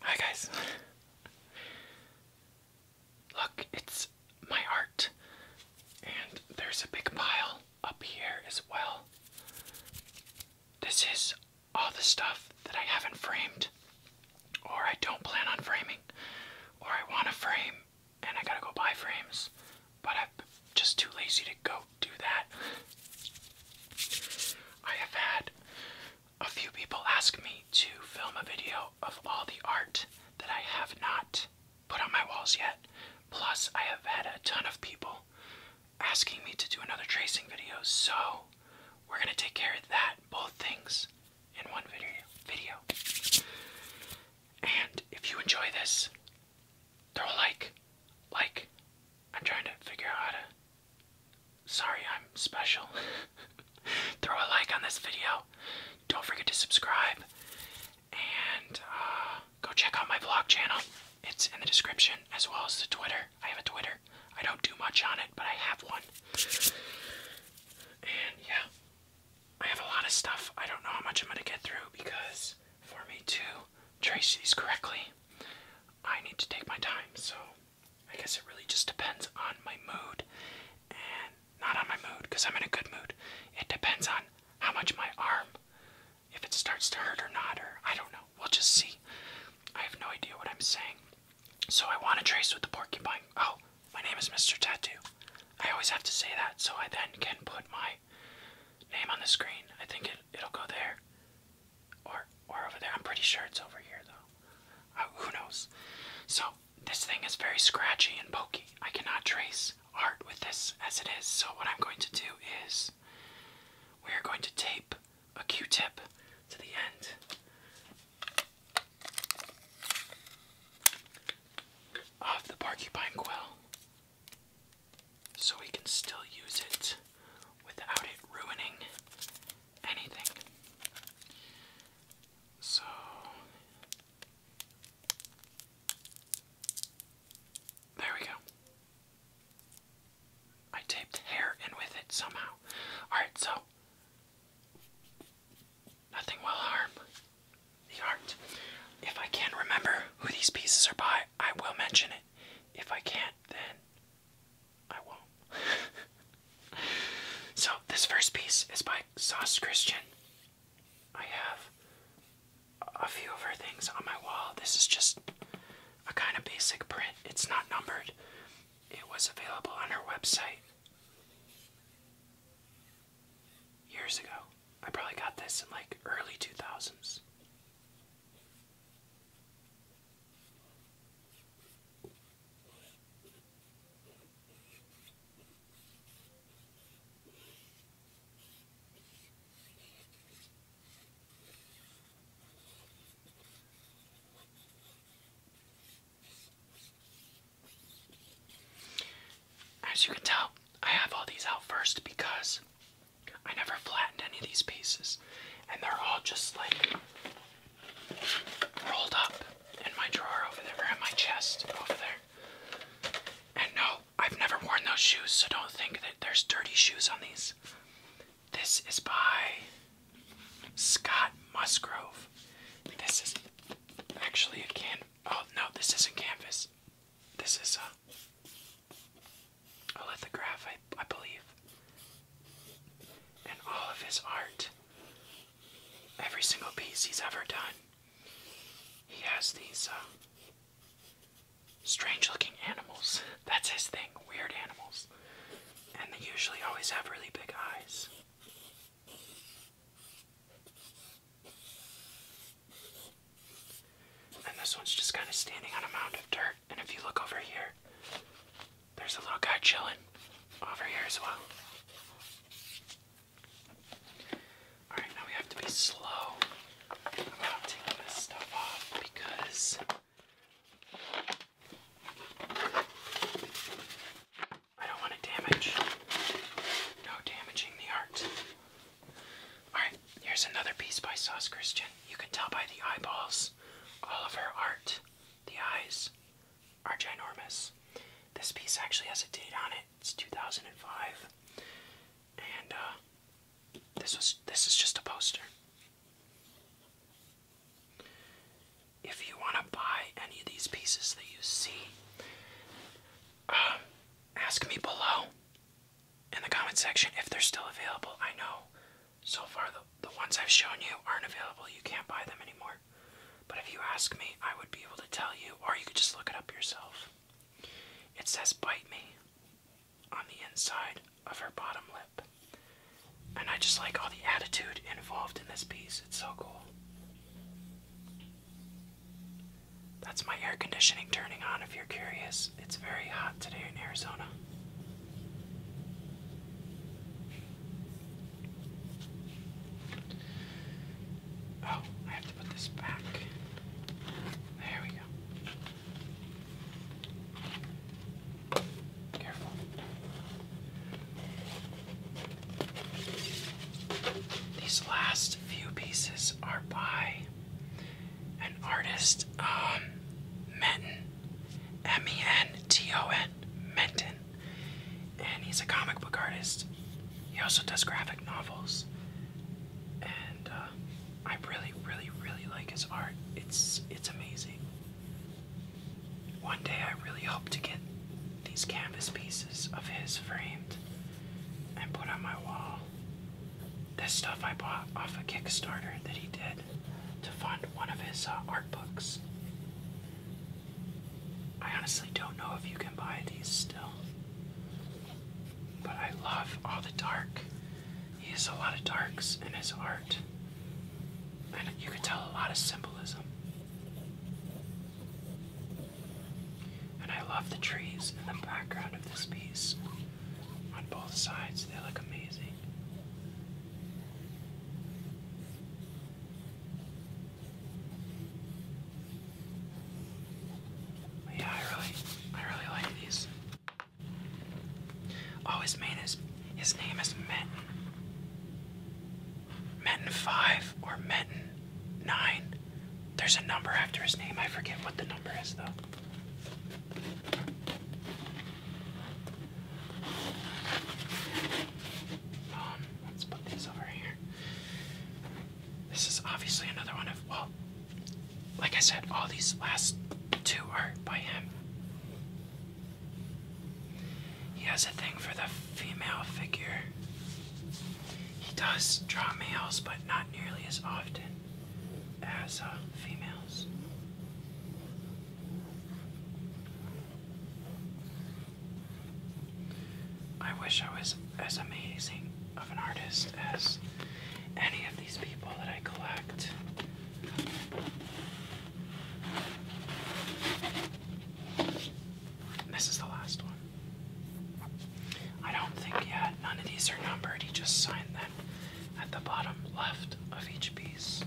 Hi guys. Look, it's my art. And there's a big pile up here as well. This is all the stuff that I haven't framed, or I don't plan on framing, or I want to frame and I gotta go buy frames, but I'm just too lazy to go do that. I have had a few people ask me to film a video of all the art that I have not put on my walls yet. Plus, I have had a ton of people asking me to do another tracing video, so we're gonna take care of that, both things, in one video. video. And if you enjoy this, throw a like. Like. I'm trying to figure out how to. Sorry, I'm special. throw a like on this video. Don't forget to subscribe. And uh, go check out my vlog channel. It's in the description as well as the Twitter. I have a Twitter. I don't do much on it, but I have one. And yeah, I have a lot of stuff. I don't know how much I'm going to get through because for me to trace these correctly, I need to take my time. So I guess it really just depends on my mood and not on my mood because I'm in a good mood. It depends on how much my arm, if it starts to hurt or not, or I don't know. We'll just see. I have no idea what I'm saying. So I want to trace with the porcupine. Oh, my name is Mr. Tattoo. I always have to say that so I then can put my name on the screen. I think it, it'll go there or or over there. I'm pretty sure it's over here though. Uh, who knows? So this thing is very scratchy and pokey. I cannot trace art with this as it is. So what I'm going to do is we are going to tape a Q-tip to the end. Of the porcupine quill, so we can still use it without it ruining anything. So there we go. I taped hair in with it somehow. Alright, so nothing will harm the art. If I can remember who these pieces are by, I will mention it. If I can't, then I won't. so, this first piece is by Soss Christian. I have a few of her things on my wall. This is just a kind of basic print, it's not numbered. It was available on her website years ago. I probably got this in like early 2000s. As you can tell, I have all these out first because I never flattened any of these pieces, and they're all just like rolled up in my drawer over there, or in my chest over there. And no, I've never worn those shoes, so don't think that there's dirty shoes on these. This is by Scott Musgrove. This is actually a canvas. Oh no, this isn't canvas. This is a, uh, a lithograph, I, I believe. And all of his art, every single piece he's ever done, he has these uh, strange looking animals. That's his thing, weird animals. And they usually always have really big eyes. And this one's just kind of standing on a mound of dirt. And if you look over here, there's a little guy chilling over here as well. Alright, now we have to be slow about taking this stuff off because I don't want to damage. No damaging the art. Alright, here's another piece by Sauce Christian. You can tell by the eyeballs, all of her art, the eyes are ginormous. This piece actually has a date on it. It's 2005. And uh, this was this is just a poster. If you want to buy any of these pieces that you see, um, ask me below in the comment section if they're still available. I know so far the, the ones I've shown you aren't available. You can't buy them anymore. But if you ask me, I would be able to tell you, or you could just look it up yourself. It says bite me on the inside of her bottom lip. And I just like all the attitude involved in this piece. It's so cool. That's my air conditioning turning on if you're curious. It's very hot today in Arizona. Oh, I have to put this back. There we go. Careful. These last last few pieces are by an artist, um, Menton, M-E-N-T-O-N, Menton, and he's a comic book artist. He also does graphic novels, and uh, I really, really, really like his art. It's it's amazing. One day I really hope to get these canvas pieces of his framed and put on my wall. This stuff I bought off a Kickstarter that he did to fund one of his uh, art books. I honestly don't know if you can buy these still. But I love all the dark. He has a lot of darks in his art. And you can tell a lot of symbolism. And I love the trees in the background of this piece. On both sides, they look amazing. yeah, I really, I really like these. Oh, his main is, his name is Metin. Metin 5 or Metin nine. There's a number after his name. I forget what the number is, though. Um, let's put these over here. This is obviously another one of, well, like I said, all these last two are by him. He has a thing for the female figure. He does draw males, but not nearly as often as uh, females. I wish I was as amazing of an artist as any of these people that I collect this is the last one. I don't think, yeah, none of these are numbered. He just signed them at the bottom left of each piece.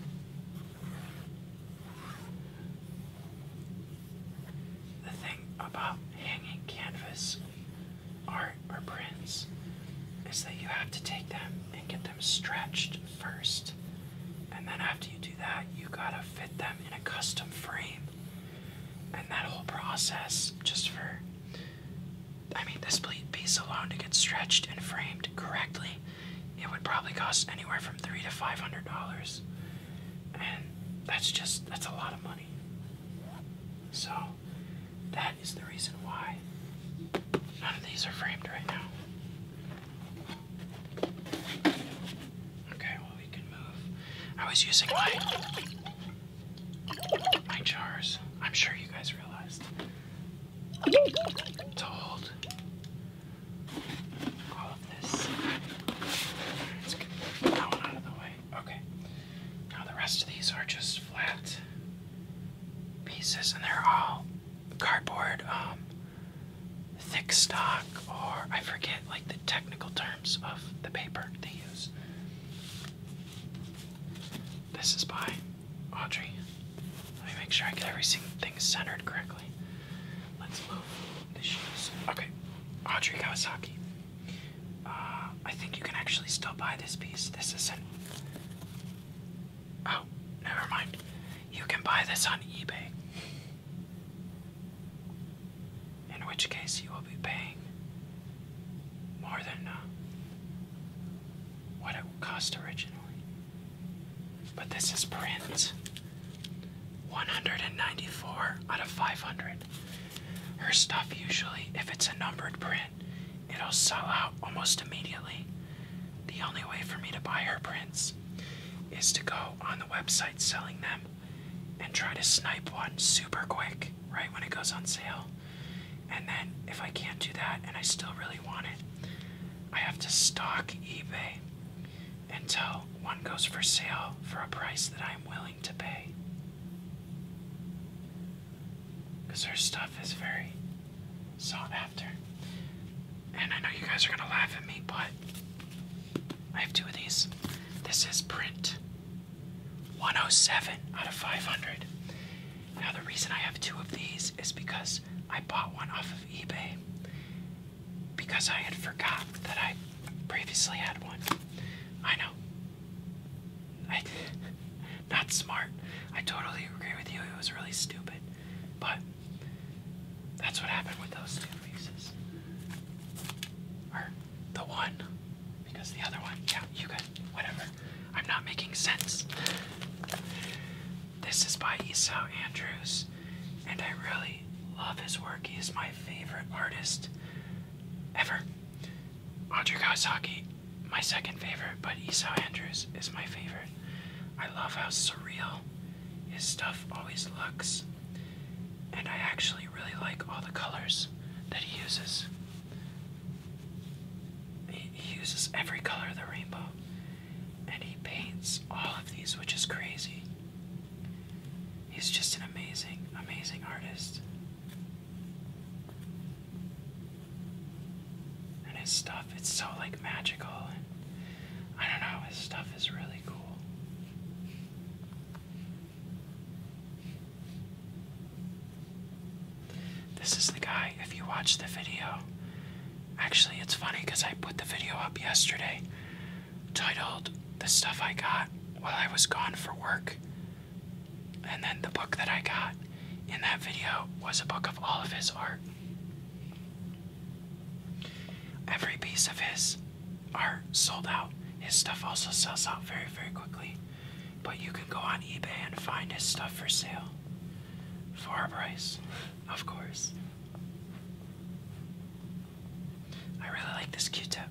The thing about hanging canvas art or prints is that you have to take them and get them stretched first. And then after you do that, you gotta fit them in a custom frame and that whole process just for I mean this piece alone to get stretched and framed correctly it would probably cost anywhere from three to five hundred dollars and that's just that's a lot of money so that is the reason why none of these are framed right now okay I was using my my jars. I'm sure you guys realized to hold all of this. that one out of the way. Okay. Now the rest of these are just flat pieces, and they're all cardboard, um, thick stock, or I forget like the technical terms of the paper they use. This is by Audrey. Let me make sure I get everything centered correctly. Let's move the shoes. Okay, Audrey Kawasaki. Uh, I think you can actually still buy this piece. This isn't. Oh, never mind. You can buy this on eBay in which case you will be paying more than uh, what it cost originally. But this is prints. 194 out of 500. Her stuff usually, if it's a numbered print, it'll sell out almost immediately. The only way for me to buy her prints is to go on the website selling them and try to snipe one super quick right when it goes on sale. And then if I can't do that and I still really want it, I have to stalk eBay until one goes for sale for a price that I'm willing to pay. Because her stuff is very sought after. And I know you guys are going to laugh at me, but I have two of these. This is print 107 out of 500. Now, the reason I have two of these is because I bought one off of eBay because I had forgot that I previously had one. I know. I, not smart. I totally agree with you. It was really stupid. But that's what happened with those two pieces. Or the one. Because the other one, yeah, you can, whatever. I'm not making sense. This is by Esau Andrews, and I really love his work. He is my favorite artist ever. Andre Kawasaki, my second favorite, but Esau Andrews is my favorite. I love how surreal his stuff always looks and I actually really like all the colors that he uses. He, uses every color of the rainbow, and he paints all of these, which is crazy. He's just an amazing, amazing artist. And his stuff, it's so like magical and I don't know, his stuff is really cool. This is the guy, if you watch the video. Actually, it's funny because I put the video up yesterday titled The Stuff I Got While I Was Gone for Work. And then the book that I got in that video was a book of all of his art. Every piece of his are sold out. His stuff also sells out very, very quickly. But you can go on eBay and find his stuff for sale for a price, of course. I really like this Q-tip.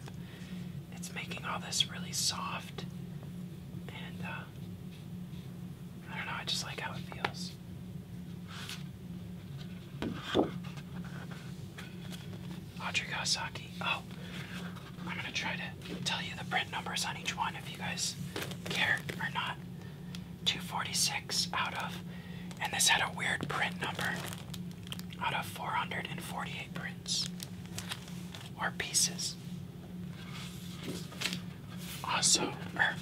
It's making all this really soft, and uh, I don't know. I just like how it feels. Audrey Kawasaki. Oh, I'm gonna try to tell you the print numbers on each one if you guys care or not. 246 out of, and this had a weird print number, out of 448 prints or pieces. Also, er,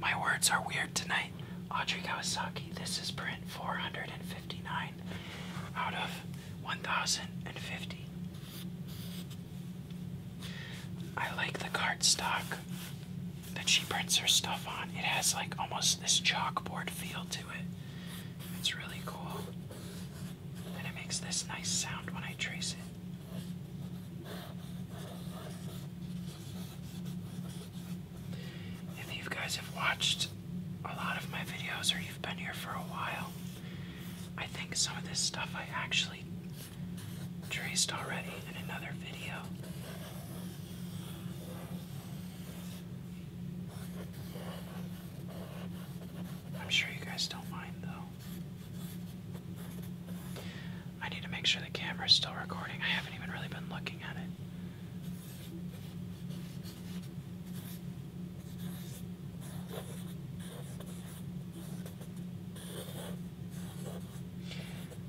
my words are weird tonight. Audrey Kawasaki. This is print 459 out of 1050. I like the cardstock that she prints her stuff on. It has like almost this chalkboard feel to it. It's really cool. And it makes this nice sound when I trace it. If you guys have watched a lot of my videos or you've been here for a while, I think some of this stuff I actually traced already in another video. I'm sure you guys don't mind though. I need to make sure the camera is still recording. I haven't even really been looking at it.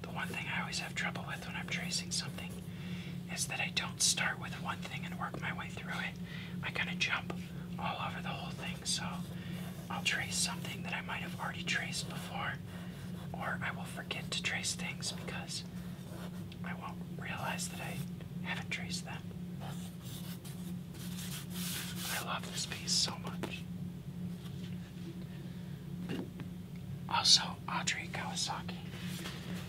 The one thing I always have trouble with when I'm tracing something is that I don't start with one thing and work my way through it. I kind of jump all over the whole thing, so I'll trace something that I might have already traced before or I will forget to trace things because I won't realize that I haven't traced them. I love this piece so much. Also, Audrey Kawasaki.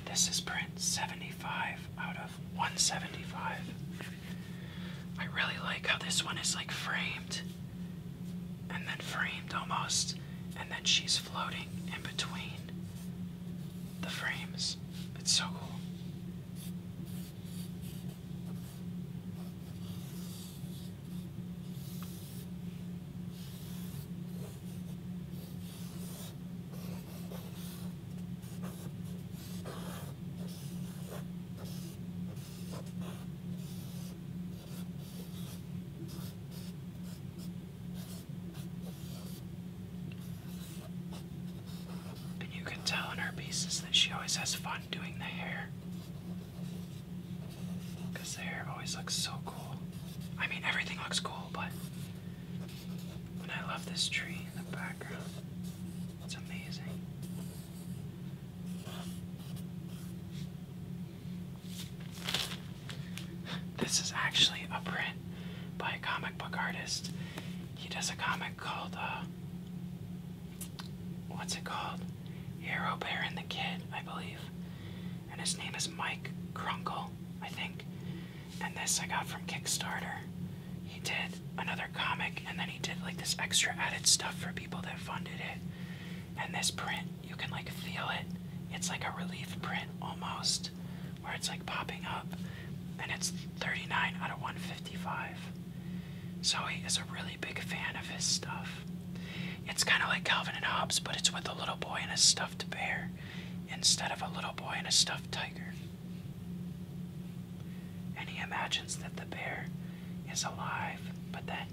This is print 75 out of 175. I really like how this one is like framed and then framed almost, and then she's floating in between the frames. It's so cool. And you can tell in her pieces that she always has fun doing the hair. Because the hair always looks so cool. I mean, everything looks cool, but. I love this tree in the background. It's amazing. This is actually a print by a comic book artist. He does a comic called, uh, what's it called? Hero Bear and the Kid, I believe. And his name is Mike Krunkle, I think. And this I got from Kickstarter. He did another comic and then he did like this extra added stuff for people that funded it. And this print you can like feel it. It's like a relief print almost, where it's like popping up, and it's 39 out of 155. Zoe is a really big fan of his stuff. It's kind of like Calvin and Hobbes, but it's with a little boy and a stuffed bear instead of a little boy and a stuffed tiger. And he imagines that the bear is alive, but that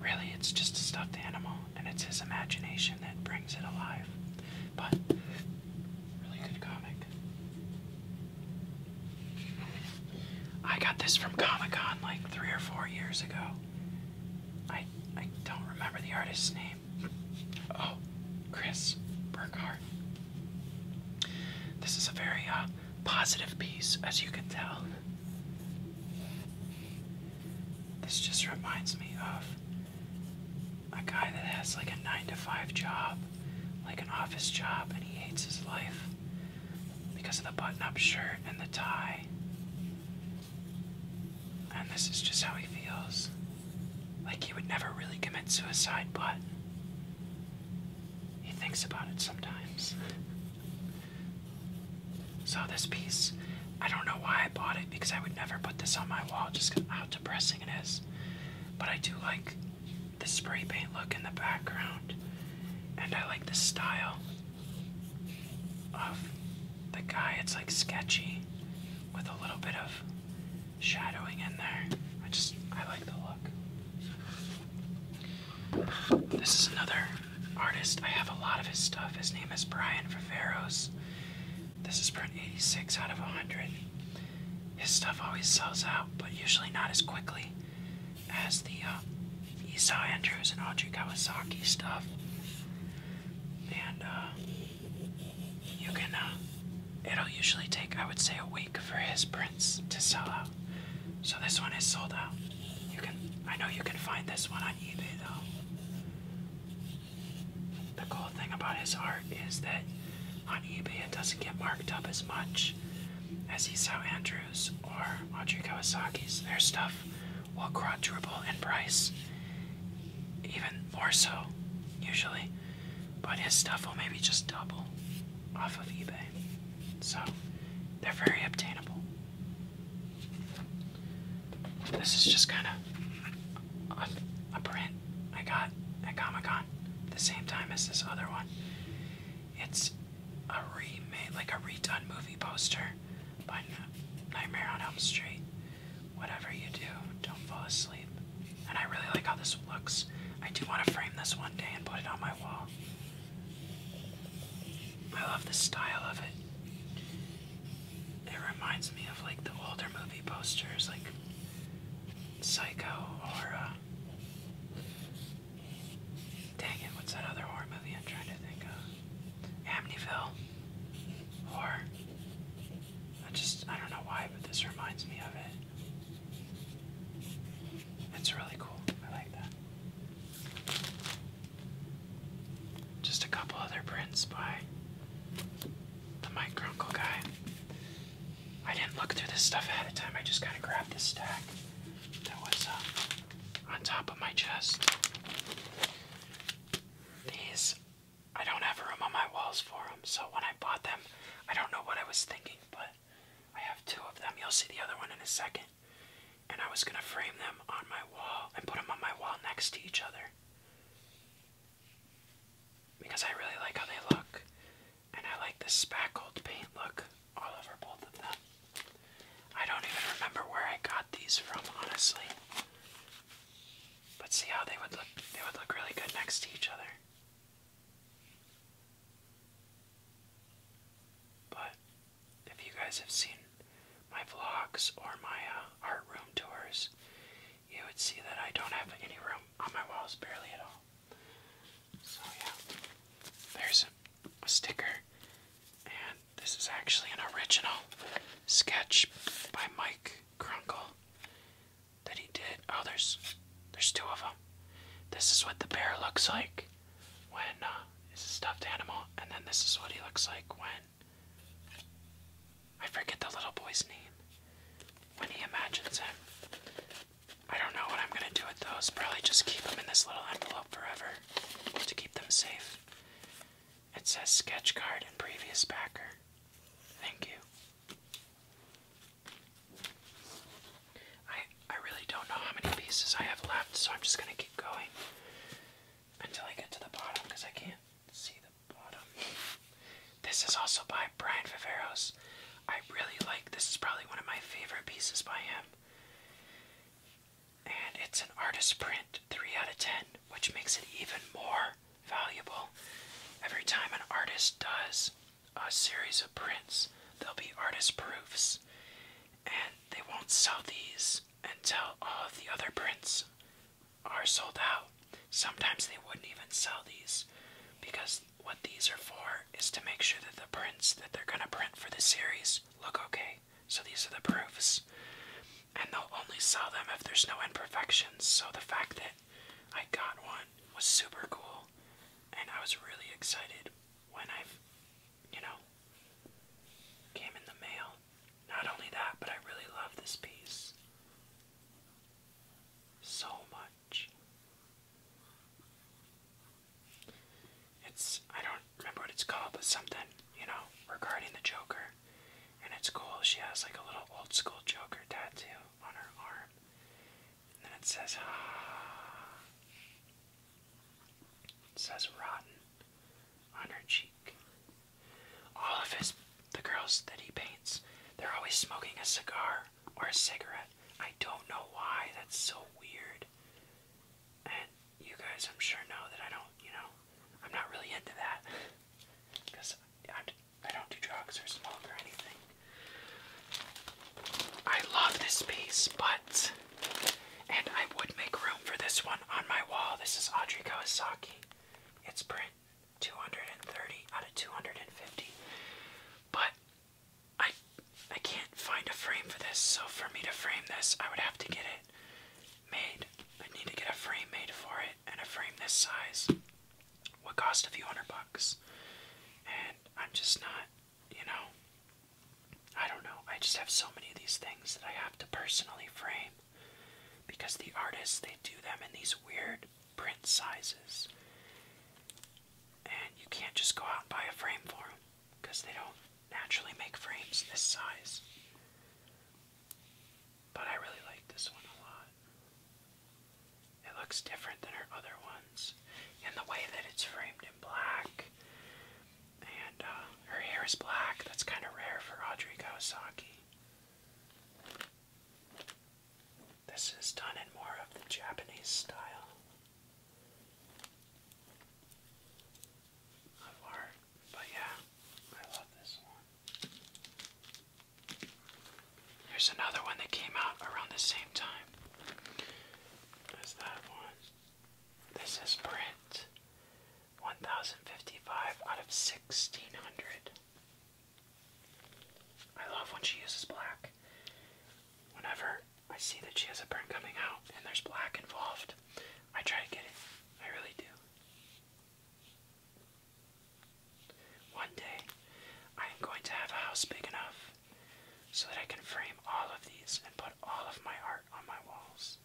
really it's just a stuffed animal and it's his imagination that brings it alive. But really good comic. I got this from Comic Con like three or four years ago. I I don't remember the artist's name. Oh, Chris Burkhardt. This is a very uh, positive piece, as you can tell. This just reminds me of a guy that has like a 9 to 5 job, like an office job, and he hates his life because of the button up shirt and the tie. And this is just how he feels. Like he would never really commit suicide, but he thinks about it sometimes. So this piece, I don't know why I bought it because I would never put this on my wall just cause how depressing it is. But I do like the spray paint look in the background, and I like the style of the guy. It's like sketchy with a little bit of shadowing in there. I just I like the look. This is another artist. I have a lot of his stuff. His name is Brian Viveros. This is print 86 out of 100. His stuff always sells out, but usually not as quickly as the Esau um, Andrews and Audrey Kawasaki stuff. And uh, you can, uh, it'll usually take, I would say, a week for his prints to sell out. So this one is sold out. You can, I know you can find this one um, the cool thing about his art is that on eBay it doesn't get marked up as much as Isao Andrews or Audrey Kawasaki's. Their stuff will quadruple in price, even more so, usually. But his stuff will maybe just double off of eBay. So they're very obtainable. This is just kind of a, print I got at Comic Con the same time as this other one. It's a remake, like a redone movie poster by Nightmare on Elm Street. Whatever you do, don't fall asleep. And I really like how this looks. I do want to frame this one day and put it on my wall. I love the style of it. It reminds me of like the older movie posters, like Psycho or. Uh, Dang it, what's that other horror movie I'm trying to think of? Amityville. Or. I just, I don't know why, but this reminds me of it. It's really cool. I like that. Just a couple other prints by the Micruncle guy. I didn't look through this stuff ahead of time, I just kind of grabbed this stack that was uh, on top of my chest. These, I don't have room on my walls for them, so when I bought them, I don't know what I was thinking, but I have two of them. You'll see the other one in a second and I was gonna frame them on my wall and put them on my wall next to each other because I really like how they look, and I like the spackled paint look all over both of them. I don't even remember where I got these from, honestly. But see how they would look they would look really good next to each other. But if you guys have seen my vlogs or my uh, art room tours, you would see that I don't have any room on my walls, barely at all. So, yeah, there's a, sticker, and this is actually an original sketch by Mike Crunkle that he did. Oh, there's, there's two of them. This is what the bear looks like when uh, he's a stuffed animal, and then this is what he looks like when I forget the little boy's name. When he imagines him, I don't know what I'm gonna do with those. Probably just keep them in this little envelope forever to keep them safe. It says sketch card and previous backer. Thank you. I really don't know how many pieces I have left, so I'm just gonna keep going until I get to the bottom because I can't see the bottom. This is also by Brian Viveros. I really like this is probably one of my favorite pieces by him. And it's an artist print, 3 out of 10, which makes it even more valuable. Every time an artist does a series of prints, there'll be artist proofs. And they won't sell these until all uh, of the other prints are sold out. Sometimes they wouldn't even sell these because what these are for is to make sure that the prints that they're going to print for the series look okay. So these are the proofs. And they'll only sell them if there's no imperfections. So the fact that I got one was super cool. And I was really excited when I, you know, Came in the mail. Not only that, but I really love this piece so much. It's, I don't remember what it's called, but something, you know, regarding the Joker. And it's cool. She has like a little old school Joker tattoo on her arm. And then it says, ah. It says rotten on her cheek. All of his, the girls that he paints, they're always smoking a cigar or a cigarette. I don't know why, that's so weird. And you guys, I'm sure, know that I don't, you know, I'm not really into that. Because I don't do drugs or smoke or anything. I love this piece, but and I would make room for this one on my wall. This is Audrey Kawasaki. It's print 230 out of 250. But I I can't find a frame for this, so for me to frame this, I would have to get it made. i need to get a frame made for it, and a frame this size would cost a few hundred bucks. And I'm just not you know, I don't know. I just have so many of these things that I have to personally frame because the artists, they do them in these weird print sizes. And you can't just go out and buy a frame for them because they don't naturally make frames this size. But I really like this one a lot. It looks different than her other ones. And the way that it's framed in black and uh, her hair is black. That's kind of rare for Audrey Kawasaki. This is done in more of the Japanese style of But yeah, I love this one. Here's another one that came out around the same time as that one. This is print 1055 out of 1600. I love when she uses black. Whenever I see that she has a print coming out and there's black involved, I try to get it. I really do. One day, I am going to have a house big enough so that I can frame all of these and put all of my art on my walls.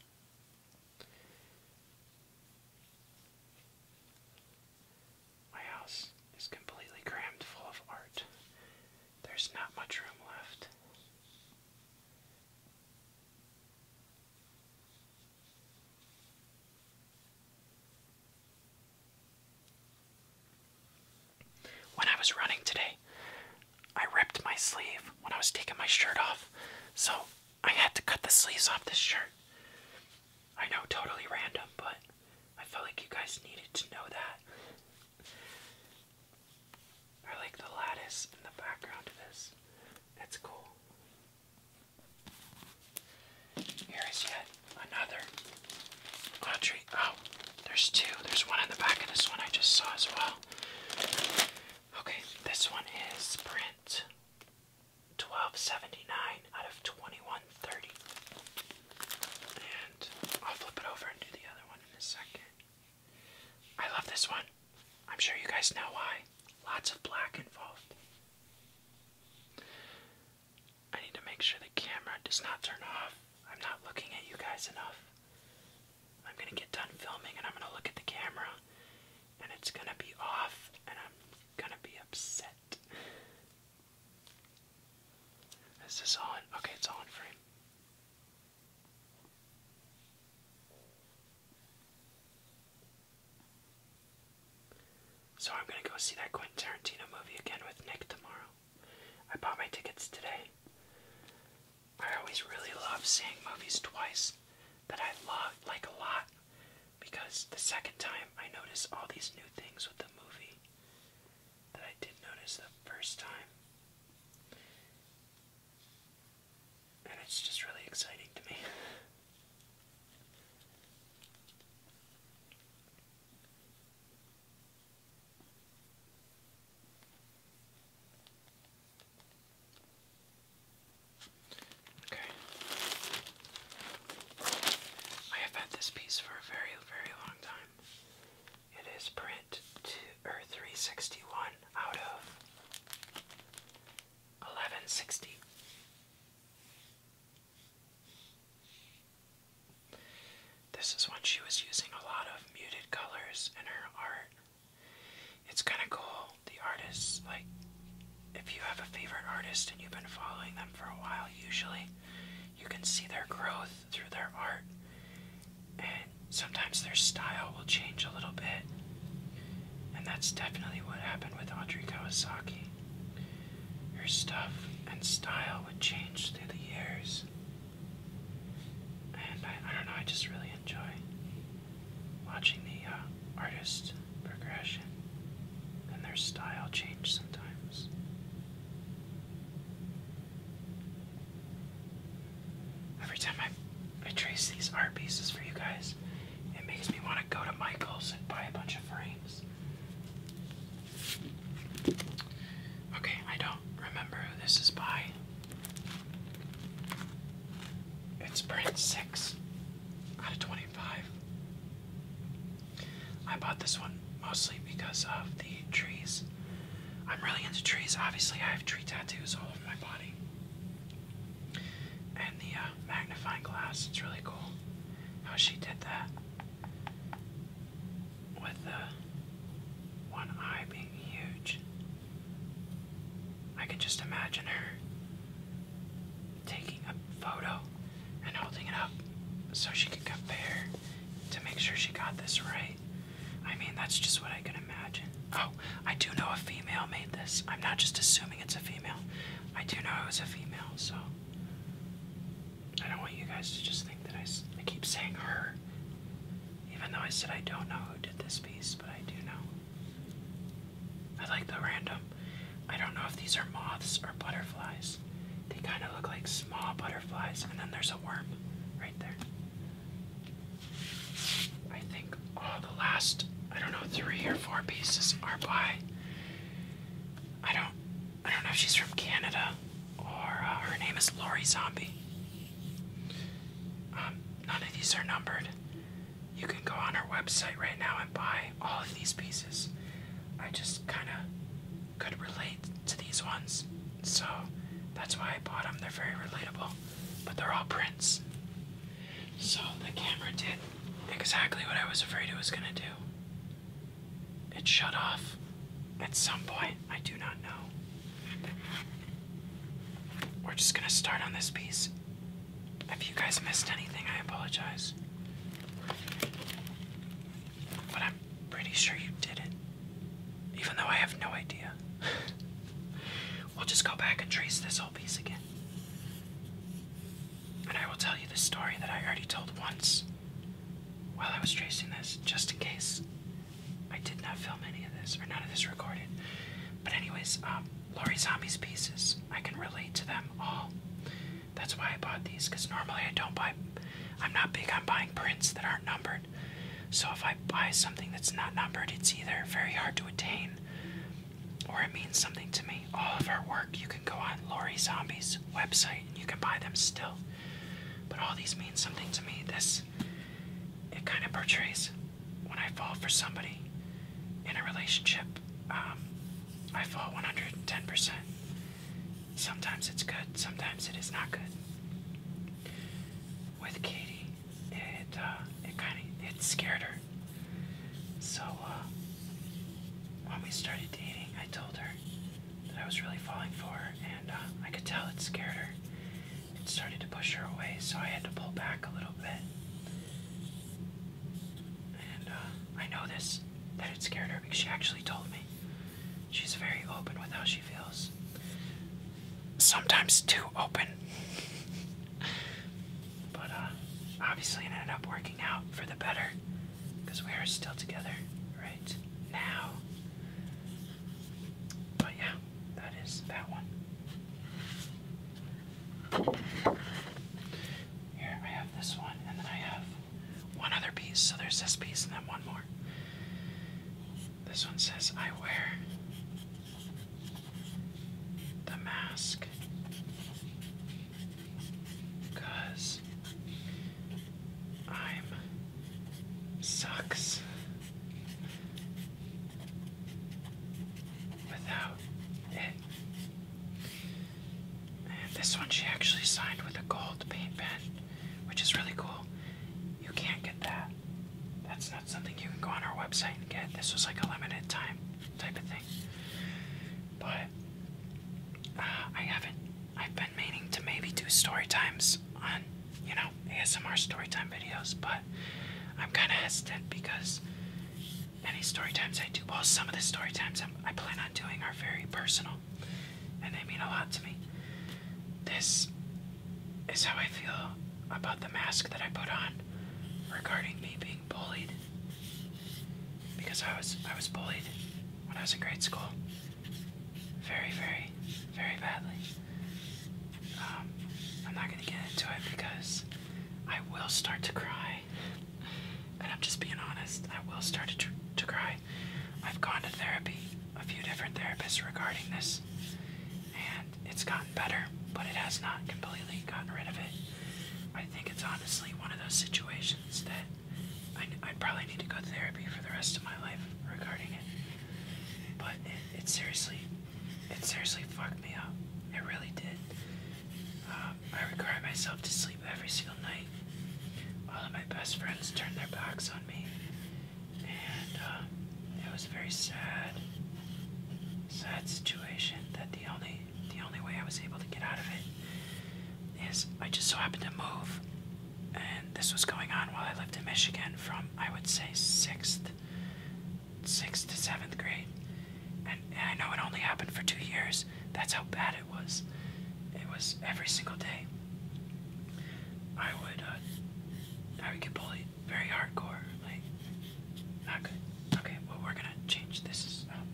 My house is completely crammed full of art. There's not much room left. When I was running today, I ripped my sleeve when I was taking my shirt off, so I had to cut the sleeves off this shirt. I know, totally random, but I felt like you guys needed to know that. I like the lattice in the background of this. That's cool. Here is yet another laundry. Oh, there's two. There's one in the back of this one I just saw as well. Okay, this one is print 1279 out of 2130. And I'll flip it over and do the other one in a second. I love this one. I'm sure you guys know why. Lots of black involved. I need to make sure the camera does not turn off I'm not looking at you guys enough. I'm gonna get done filming and I'm gonna look at the camera and it's gonna be off and I'm gonna be upset. Is this on? Okay, it's on frame. So I'm gonna go see that Quentin Tarantino movie again with Nick tomorrow. I bought my tickets today. I always really love seeing movies twice that I love like a lot because the second time I notice all these new things with the movie that I did not notice the first time. And it's just really exciting to me. Okay. I have had this piece for a very, very long time. It is print two or three sixty one out of eleven sixty. This is when she was using a lot of muted colors in her art. It's kind of cool. The artists, like, if you have a favorite artist and you've been following them for a while, usually you can see their growth through their art. And sometimes their style will change a little bit. And that's definitely what happened with Audrey Kawasaki. Her stuff and style would change through the years and I, don't know, I just really enjoy watching the uh, artist progression and their style change sometimes. Every time I, I trace these art pieces for you guys, it makes me want to go to Michael's and buy a bunch of frames. Okay, I don't remember who this is by. It's print 6 out of 25. I bought this one mostly because of the trees. I'm really into trees. Obviously, I have tree tattoos all over my body. And the uh, magnifying glass, it's really cool how she did that with the one eye being huge. I can just imagine her taking a photo and holding it up so she could compare to make sure she got this right. I mean, that's just what I can imagine. Oh, I do know a female made this. I'm not just assuming it's a female. I do know it was a female, so I don't want you guys to just think that I, I keep saying her. Even though I said I don't know who did this piece, but I do know. I like the random. I don't know if these are moths or butterflies. They kind of look like small butterflies, and then there's a worm right there. I think all oh, the last, I don't know, three or four pieces are by. I don't, I don't know if she's from Canada or uh, her name is Lori Zombie. Um, none of these are numbered. You can go on our website right now and buy all of these pieces. I just kind of could relate to these ones, so that's why I bought them. They're very relatable, but they're all prints. So the camera did exactly what I was afraid it was going to do it shut off at some point. I do not know. We're just gonna start on this piece. If you guys missed anything, I apologize. But I'm pretty sure you did it. Even though I have no idea. we'll just go back and trace this whole piece again. And I will tell you the story that I already told once while I was tracing this, just in case I did not film any of this, or none of this recorded. But anyways, um, Laurie Zombie's pieces, I can relate to them all. That's why I bought these, because normally I don't buy, I'm not big on buying prints that aren't numbered. So if I buy something that's not numbered, it's either very hard to attain, or it means something to me. All of her work, you can go on Laurie Zombie's website and you can buy them still. But all these mean something to me. This it kind of portrays when I fall for somebody in a relationship, um, I fall 110%. Sometimes it's good, sometimes it is not good. With Katie, it uh, it kind of it scared her. So uh, when we started dating, I told her that I was really falling for, and uh, I could tell it scared her. It started to push her away, so I had to pull back a little bit. And uh, I know this, that it scared her because she actually told me. She's very open with how she feels. Sometimes too open. but uh, obviously it ended up working out for the better because we are still together right now. But yeah, that is that one. Here I have this one, and then I have one other piece. So there's this piece, and then one more. This one says, I wear the mask because I'm sucks without it. this one she actually signed with a gold paint pen, which is really cool. You can't get that. That's not something you can go on our website and get. This was like a limited time type of thing. But uh, I haven't. I've meaning to maybe do story times on, you know, ASMR story time videos, but I'm kind of hesitant because any story times I do, well, some of the story times i I plan on doing are very personal, and they mean a lot to me. This is how I feel about the mask that I put on regarding me being bullied, because I was I was bullied when I was in grade school very, very, very badly. Um, I'm not gonna get into it because I will start to cry, and I'm just being honest. I will start to, to cry. I've gone to therapy, a few different therapists regarding this, and it's gotten better, but it has not completely gotten rid of it. I think it's honestly one of those situations that I, I probably need to go to therapy for the rest of my life regarding it. But it, seriously, it seriously fucked me up. It really did. Uh, I required myself to sleep every single night. All of my best friends turned their backs on me. And uh, it was a very sad, sad situation that the only, the only way I was able to get out of it is I just so happened to move and this was going on while I lived in Michigan from I would say sixth, sixth to seventh grade, and, I know it only happened for two years. That's how bad it was. It was every single day. I would, uh, I would get bullied very hardcore, like not good. Okay, well we're gonna change this. Um,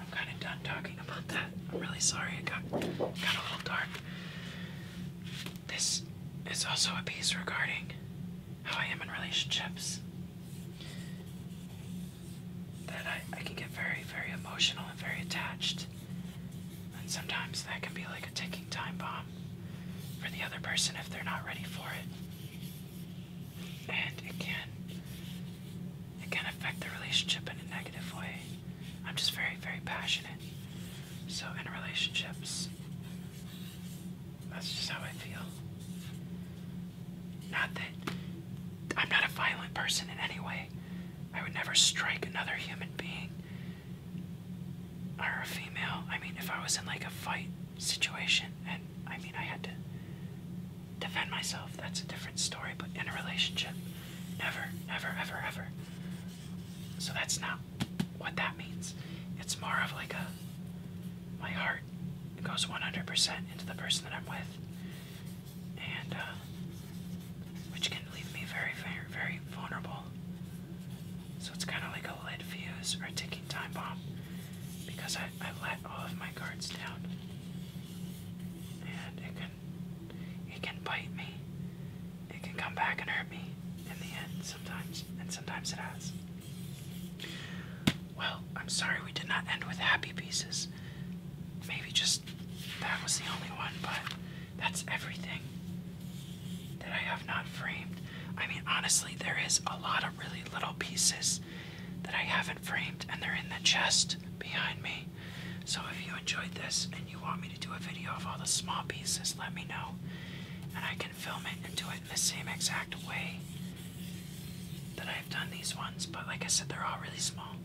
I'm kind of done talking about that. I'm really sorry it got got a little dark. This is also a piece regarding how I am in relationships. That I, I can get very, very emotional and very attached. And sometimes that can be like a ticking time bomb for the other person if they're not ready for it. And it can it can affect the relationship in a negative way. I'm just very, very passionate. So in relationships, that's just how I feel. Not that I'm not a violent person in any way. I would never strike another human being or a female. I mean, if I was in like a fight situation and I mean, I had to defend myself, that's a different story. But in a relationship, never, never, ever, ever. So that's not what that means. It's more of like a my heart goes 100% into the person that I'm with, and uh, which can leave me very, very, very vulnerable. So it's kind of like a lit fuse or a ticking time bomb because I, I let all of my guards down, and it can it can bite me. It can come back and hurt me in the end sometimes, and sometimes it has. Well, I'm sorry we did not end with happy pieces. Maybe just that was the only one, but that's everything that I have not framed. I mean, honestly, there is a lot of really little pieces that I haven't framed, and they're in the chest behind me. So if you enjoyed this and you want me to do a video of all the small pieces, let me know. And I can film it and do it in the same exact way that I've done these ones. But like I said, they're all really small.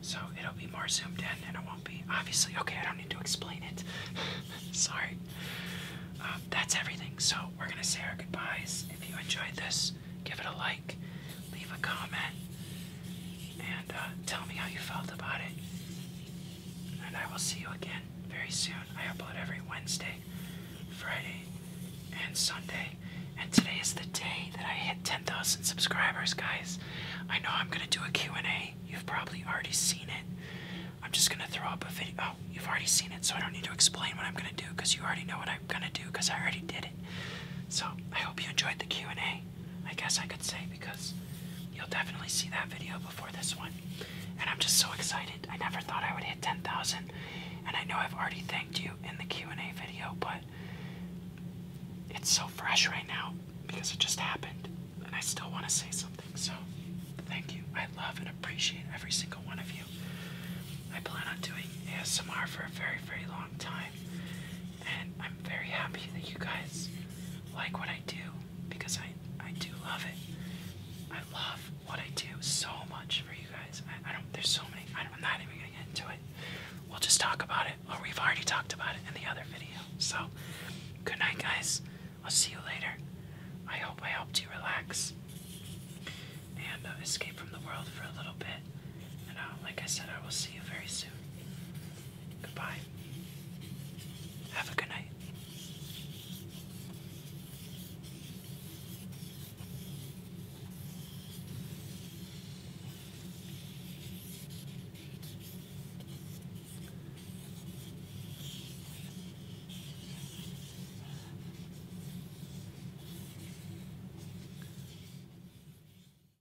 So it'll be more zoomed in and it won't be. Obviously, okay, I don't need to explain it. Sorry. Um, that's everything. So we're going to say our goodbyes. If you enjoyed this, give it a like leave a comment and uh, tell me how you felt about it. And I will see you again very soon. I upload every Wednesday, Friday, and Sunday. And today is the day that I hit 10,000 subscribers, guys. I know I'm gonna do a Q&A. You've probably already seen it. I'm just gonna throw up a video. Oh, you've already seen it, so I don't need to explain what I'm gonna do because you already know what I'm gonna do because I already did it. So I hope you enjoyed the Q&A. I guess I could say, because you'll definitely see that video before this one. And I'm just so excited. I never thought I would hit 10,000. And I know I've already thanked you in the Q&A video, but it's so fresh right now because it just happened. And I still want to say something. So thank you. I love and appreciate every single one of you. I plan on doing ASMR for a very, very long time. And I'm very happy that you guys like what I do because I, I do love it. I love what I do so much for you guys. I, don't, there's so many, I, am not even gonna get into it. We'll just talk about it, or we've already talked about it in the other video. So, good night, guys. I'll see you later. I hope I helped you relax and uh, escape from the world for a little bit. And uh, like I said, I will see you very soon. Goodbye. Have a good night.